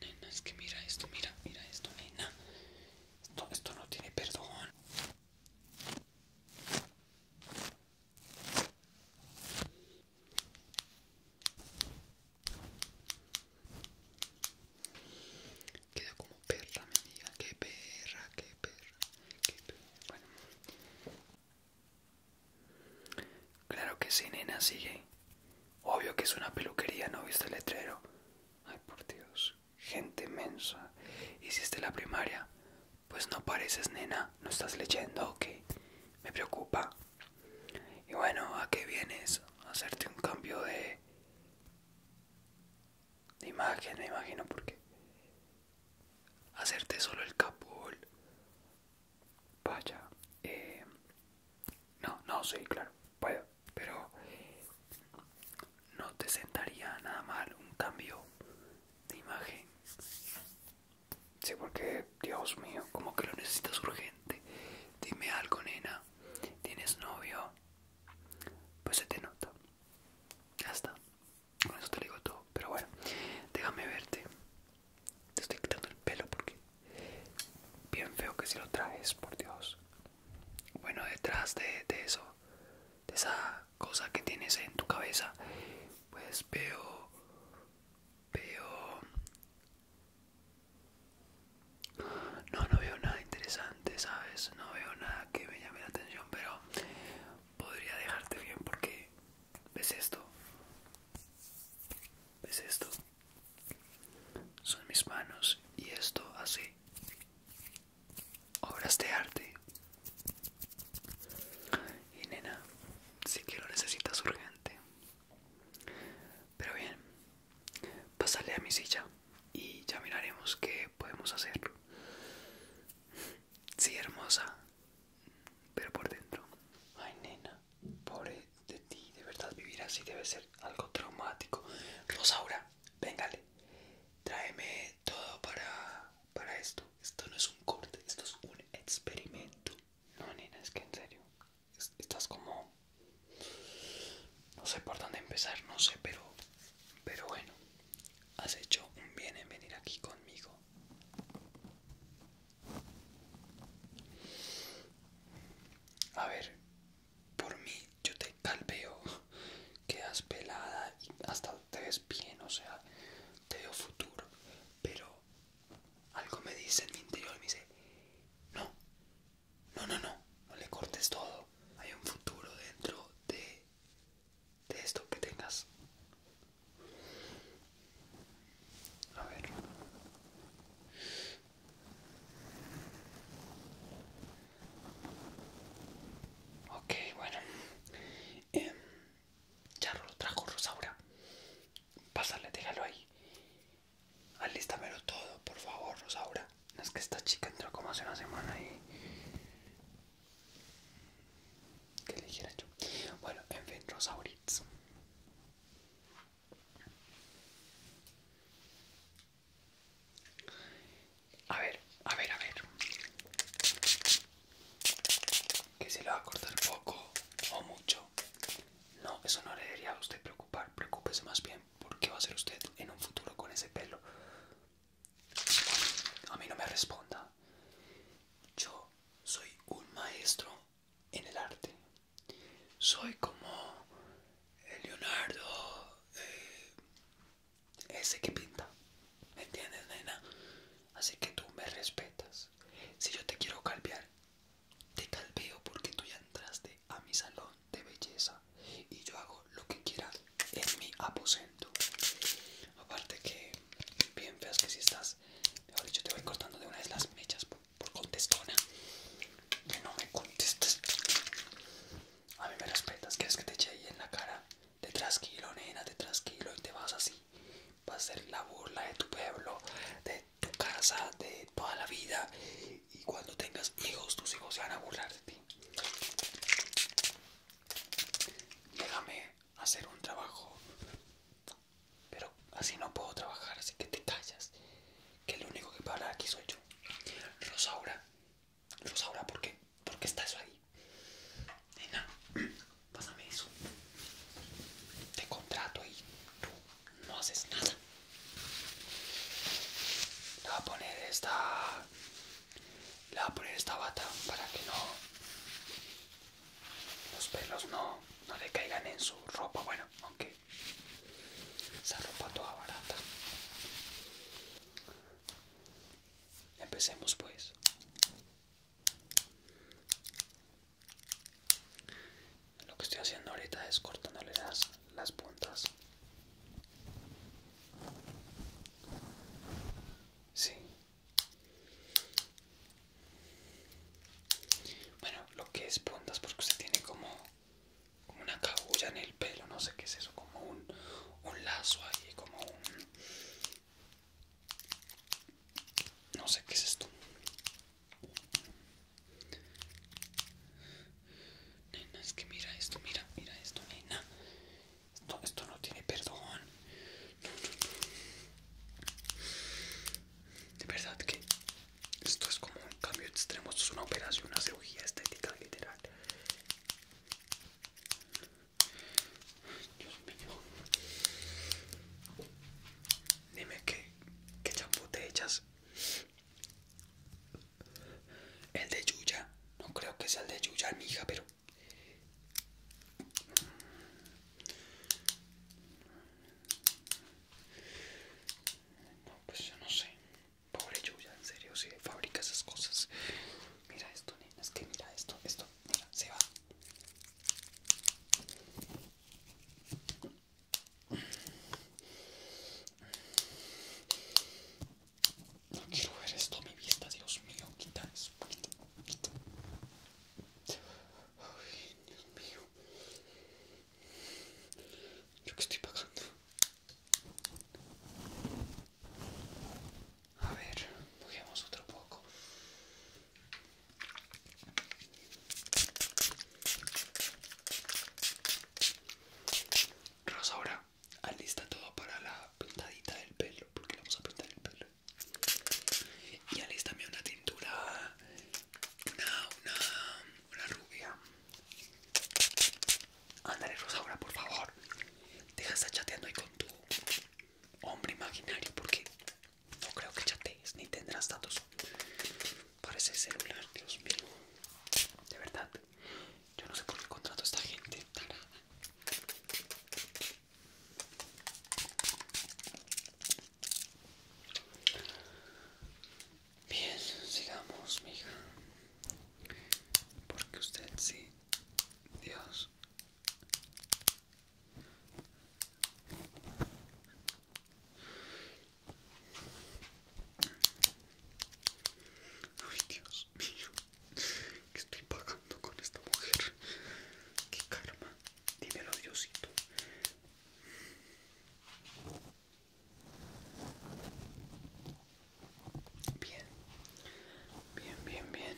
Nena, es que mira esto, mira, mira esto, nena. Esto, esto no tiene perdón. Queda como perra, me diga. Qué perra, qué perra, qué perra. Bueno. Claro que sí, nena, sigue. Obvio que es una peluquería, ¿no viste el letrero? Ay, por Dios, gente inmensa ¿Hiciste la primaria? Pues no pareces, nena. ¿No estás leyendo Ok Me preocupa. Y bueno, ¿a qué vienes? hacerte un cambio de... de imagen, me imagino, qué? Hacerte solo el capul. Vaya. Eh, no, no, sí, claro. Vaya. Pero no te sentaría nada mal un cambio de imagen. Sí, porque, Dios mío, como que lo necesitas urgente. Dime algo, nena. ¿Tienes novio? Pues se te nota. Ya está. Con eso te digo todo. Pero bueno, déjame verte. Te estoy quitando el pelo porque bien feo que si lo traes, por Dios. Bueno, detrás de, eso, de esa cosa que tienes en tu cabeza, pues veo, veo... No, no veo nada interesante, ¿sabes? No veo nada que me llame la atención, pero podría dejarte bien porque... ¿Ves esto? ¿Ves esto? Son mis manos y esto hace obras de arte. Y nena, Si que lo necesitas urgente. Pero bien, pásale a mi silla y ya miraremos qué podemos hacer. Sí, hermosa, pero por dentro. Ay, nena. Pobre de ti, de verdad vivir así debe ser algo traumático. Rosaura, vengale tráeme todo para, para esto. Esto no es un corte, esto es un experimento. No, nena, es que en serio, estás como... No sé por dónde empezar, no sé, pero, pero bueno, has hecho un bien en venir aquí conmigo. A ver, por mí yo te veo quedas pelada y hasta te ves bien, o sea, te veo futuro, pero algo me dice en mi interior, me dice, no, no, no, no, no le cortes todo, hay un futuro dentro de esto que tengas. A ver. Ok, bueno. Em, ya lo trajo Rosaura. Pásale, déjalo ahí. Alístamelo todo, por favor, Rosaura. Es que esta chica entró como hace una semana y... Que le dijera yo? Bueno, en fin, Rosauritz. A ver, a ver, a ver. Que se lo va a cortar poco o mucho. No, eso no le debería a usted preocupar. Preocúpese más bien por qué va a hacer usted en un futuro con ese pelo. A mí no me responda. Yo soy un maestro en el arte. Soy como Leonardo, eh, ese que pinta. ¿Me entiendes, nena? Así que tú me respetas. Si yo te quiero calpear te calpeo porque tú ya entraste a mi salón de belleza y yo hago lo que quieras en mi aposento. Aparte que bien veas que si estás, mejor dicho, te voy cortando de una de las mechas por contestona que no me contestas. A mí me respetas, quieres que te eche ahí en la cara. Te tranquilo, nena, te tranquilo y te vas así. Va a ser la burla de tu pueblo, de tu casa, de toda la vida. Y cuando tengas hijos, tus hijos se van a burlar de ti. Déjame hacer un trabajo pero así no puedo trabajar, así que te callas. Que lo único que para hablar aquí soy yo. Rosaura. Rosaura, ¿por qué? ¿Por qué está eso ahí? Nena, pásame eso. Te contrato y tú no haces nada. Le voy a poner esta. Le voy a poner esta bata para que no los pelos no, no le caigan en su ropa, bueno, aunque esa ropa toda barata. Empecemos pues. Lo que estoy haciendo ahorita es cortándole las, las puntas. Sí. Bueno, lo que es puntas, porque usted tiene como, como una cabulla en el pelo, no sé qué es eso, como un, un lazo ahí, como un... No sé qué es esto. Nena, es que mira esto, mira, mira esto, nena. Esto, esto no tiene perdón. De verdad que esto es como un cambio extremo, esto es una operación, una cirugía estética literal. Dios mío. Dime que qué champú te echas. El de Yuya. No creo que sea el de Yuya, hija, pero... No, pues yo no sé. Pobre Yuya, en serio, si fabrica esas cosas. Mira esto, nena, es que mira esto, esto, mira, se va. No quiero ver esto a mi vista, Dios mío, quita eso. Quita, quita. Ay, Dios mío. Yo que estoy pagando. A ver, cogemos otro poco. Rosa, ahora alista todo para la pintadita del pelo, porque le vamos a pintar el pelo. Y también una tintura, una, una, una rubia. Ándale, Rosaura, por favor. Deja estar chateando ahí con tu hombre imaginario porque no creo que chatees ni tendrás datos Parece ser celular, Dios mío. De verdad, yo no sé por qué contrato esta gente. Bien, sigamos, mija. Porque usted sí, Dios. Ay, Dios mío, ¿qué estoy pagando con esta mujer? ¿Qué karma? Dímelo, Diosito. Bien, bien, bien, bien.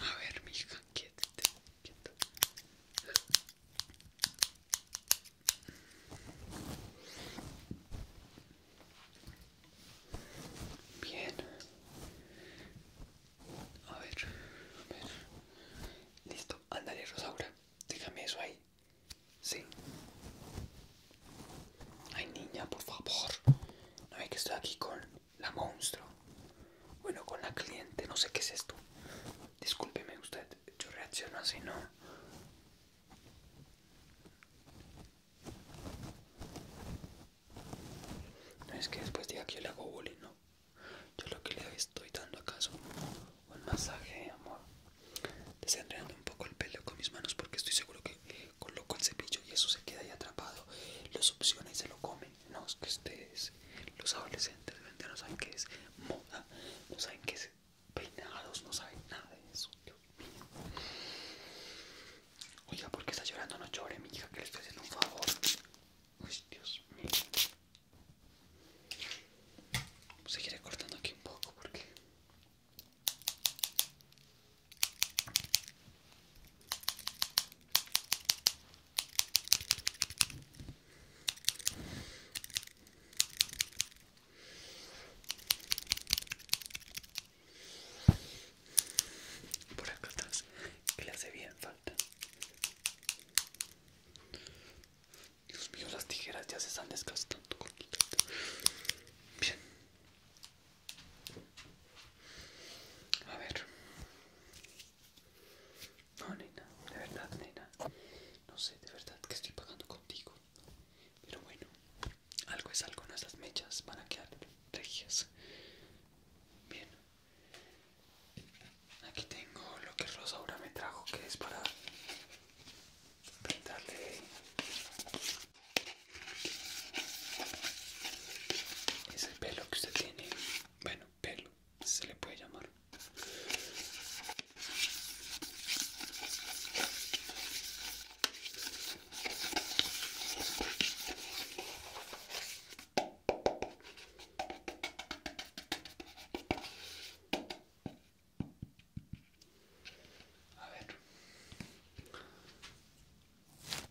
A ver, mija, quietete. Bien. A ver, Listo, ándale, Rosaura. Déjame eso ahí. Sí. Ay, niña, por favor. No hay que estar aquí con la monstruo. Bueno, con la cliente, no sé qué es esto. Discúlpeme usted, yo reacciono así, ¿no? No es que después diga que yo le hago bullying, ¿no? Yo lo que le estoy dando acaso un masaje, amor. Desenredando un poco el pelo con mis manos porque estoy seguro que coloco el cepillo y eso se queda ahí atrapado. Lo opciones y se lo come. No, es que ustedes, los adolescentes de no saben que es moda, no saben que es peinados, no saben nada de eso. Dios mío. Oiga, ¿por qué está llorando? No llore, mi hija, que le estoy haciendo un favor. Uy, Dios mío. Seguiré cortando aquí un poco porque por acá atrás, que le hace bien falta. Dios mío, las tijeras ya se están desgastando. Bien, a ver. No, nena, de verdad, nena. No sé, de verdad que estoy pagando contigo. Pero bueno, algo es algo, estas mechas van a quedar regias. Bien. Aquí tengo lo que Rosaura me trajo, que es para pintarle pelo que usted tiene, bueno, pelo, se le puede llamar. A ver.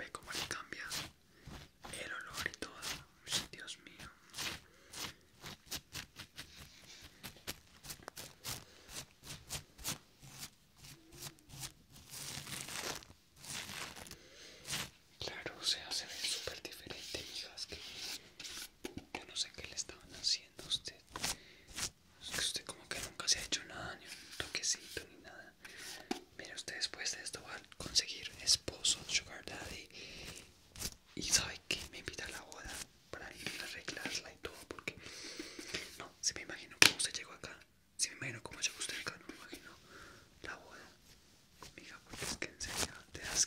Ve cómo le cambia el olor y todo. Dios mío. Claro, o sea, se ve súper diferente, hijas. Que yo no sé qué le estaban haciendo a usted. Es que usted como que nunca se ha hecho nada, ni un toquecito, ni nada. Mira usted después de esto va a conseguir esposo, sugar daddy. Y sabe que me invita a la boda para ir a arreglarla y todo, porque no, si me imagino cómo se llegó acá, si me imagino cómo llegó usted acá, no me imagino la boda. Mija, porque es que enseña, serio te das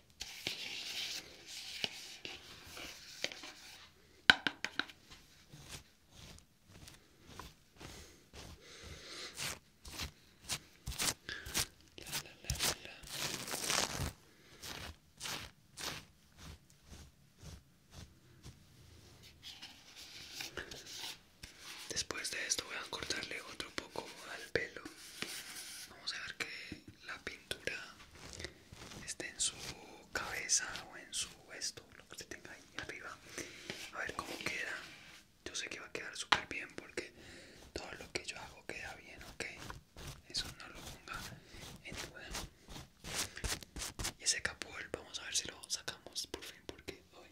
Después de esto voy a cortarle otro poco al pelo. Vamos a ver qué la pintura esté en su cabeza o en su esto, lo que se tenga ahí arriba. A ver cómo queda. Yo sé que va a quedar súper bien porque todo lo que yo hago queda bien, ¿ok? Eso no lo ponga en duda. Y ese capul, vamos a ver si lo sacamos por fin porque hoy...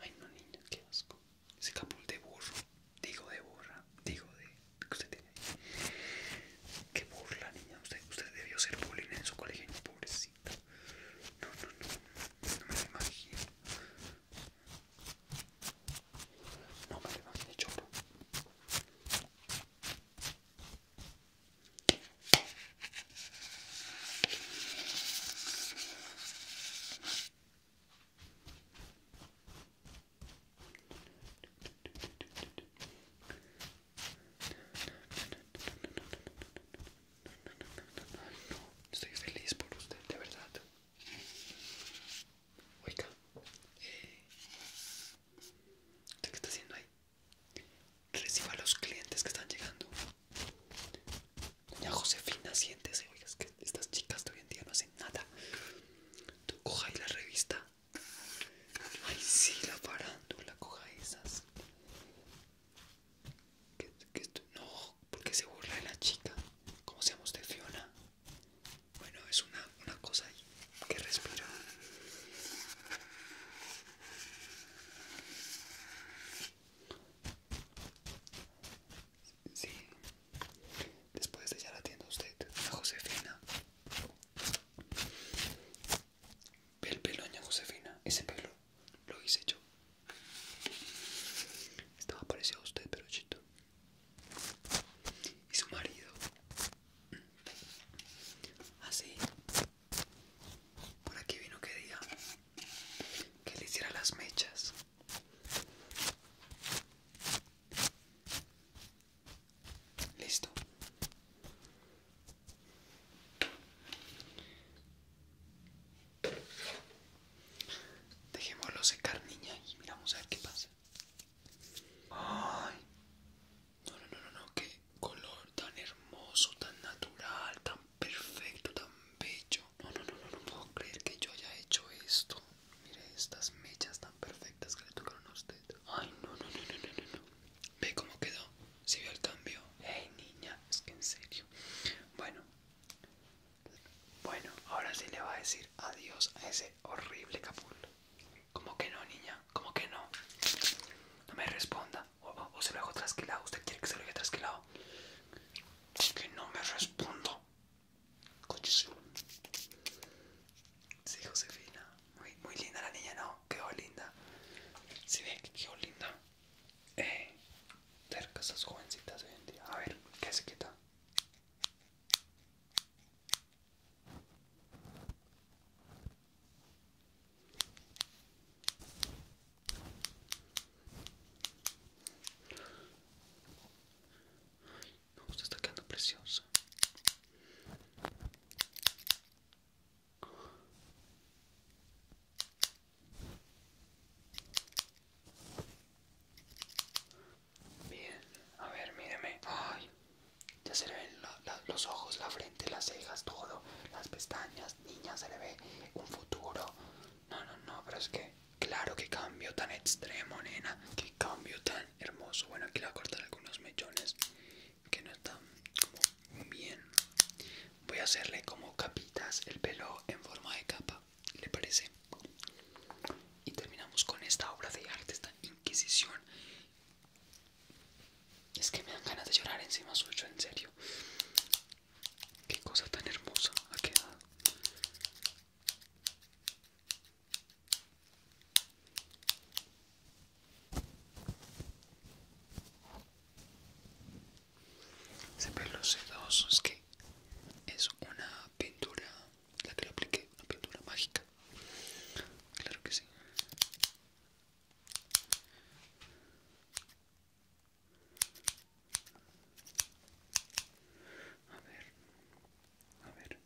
Ay no niña, que asco. Ese capul de burro digo de burra, digo de que usted tiene Qué burla, niña, usted, debió ser bullying en su colegio, pobrecita. No, no, no, no me lo imagino. No me lo imagino, Estoy feliz por usted, de verdad. Oiga, eh, qué está haciendo ahí? Reciba a los clientes que están llegando. Doña Josefina, siéntese. Oiga, es que estas chicas de hoy en día no hacen nada. Tú coja ahí la revista Ay, sí, la farándula, coja esas. Que, no, porque se burla de la chica. ¿Cómo se llama Fiona? Bueno, es una, una cosa que respira. Sí, Después de ella la tienda usted, a Josefina. Ve el pelo, Josefina. Ese pelo lo hice yo. Estaba parecido a usted, pero chito. Y su marido. Así. Ah, Por aquí vino que día que le hiciera las mechas. Listo. Dejémoslo secar, niña, y miramos a ver qué pasa. Ay. No, no, no, no, qué color tan hermoso, tan natural, tan perfecto, tan bello. no, no, no, no puedo creer que yo haya hecho esto. Mire estas mechas tan perfectas que le tocaron a usted. Ay, no, no, no, no, no, no. Ve cómo quedó. Si vio el cambio. Ey, niña, es que en serio. Bueno, bueno, ahora sí le va a decir adiós a ese horrible capullo. ¿Cómo que no, niña? ¿Cómo que no? No me responda. O, se lo dejo trasquilado. ¿Usted quiere que se lo deje trasquilado? Que no me respondo. Sí, Josefina. Muy, muy linda la niña, ¿no? Quedó linda. Si ve que linda. Eh, cerca esas jovencitas hoy en día. A ver, ¿qué se quita? Me gusta, está quedando preciosa. Bien, a ver, míreme. Ay, ya se le ven los ojos, la frente, las cejas, todo, las pestañas. Niña, se le ve un futuro. No, no, no, pero es que Claro que cambio tan extremo, nena. Que cambio tan hermoso. Bueno, aquí le voy a cortar algunos mechones que no están como bien. Voy a hacerle como capitas el pelo en forma de capa. ¿Le parece? Y terminamos con esta obra de arte, esta Inquisición. Es que me dan ganas de llorar encima suyo, en serio. Qué cosa tan hermosa ha quedado. Siempre los sedosos es que es una pintura, la que le apliqué, una pintura mágica. Claro que sí. A ver. A ver.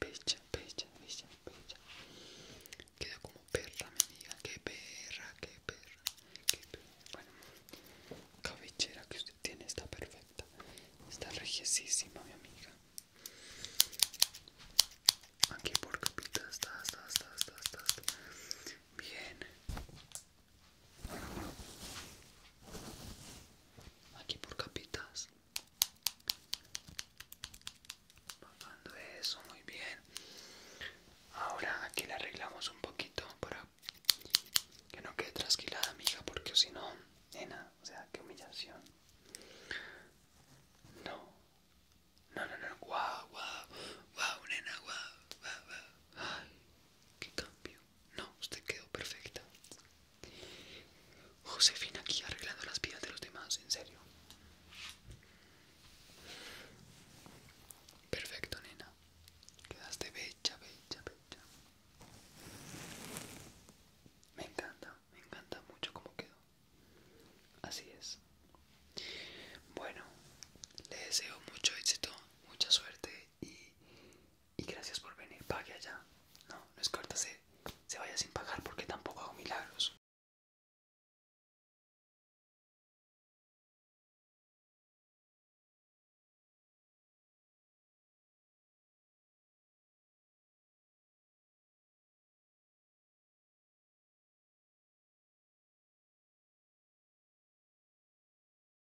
pecha, pecha, pecha, pecha. Queda como perra, mi amiga. Qué perra, qué perra. Qué perra. Bueno, cabellera que usted tiene está perfecta. Está rejesísima, mi amiga. Aquí por capitas, está, está, está, está, está. Bien aquí por capitas bajando eso muy bien ahora aquí la arreglamos un poquito para que no quede trasquilada amiga porque si no nena o sea qué humillación no no no no guau guau guau nena guau guau guau ay qué cambio no, usted quedó perfecta. Josefina aquí arreglando las vidas de los demás, en serio. Perfecto, nena. Quedaste bella, bella, bella. Me encanta, me encanta mucho cómo quedó. Así es. Bueno, le deseo mucho éxito, mucha suerte y, gracias por venir, pague allá. No, no es que se vaya sin pagar porque tampoco hago milagros.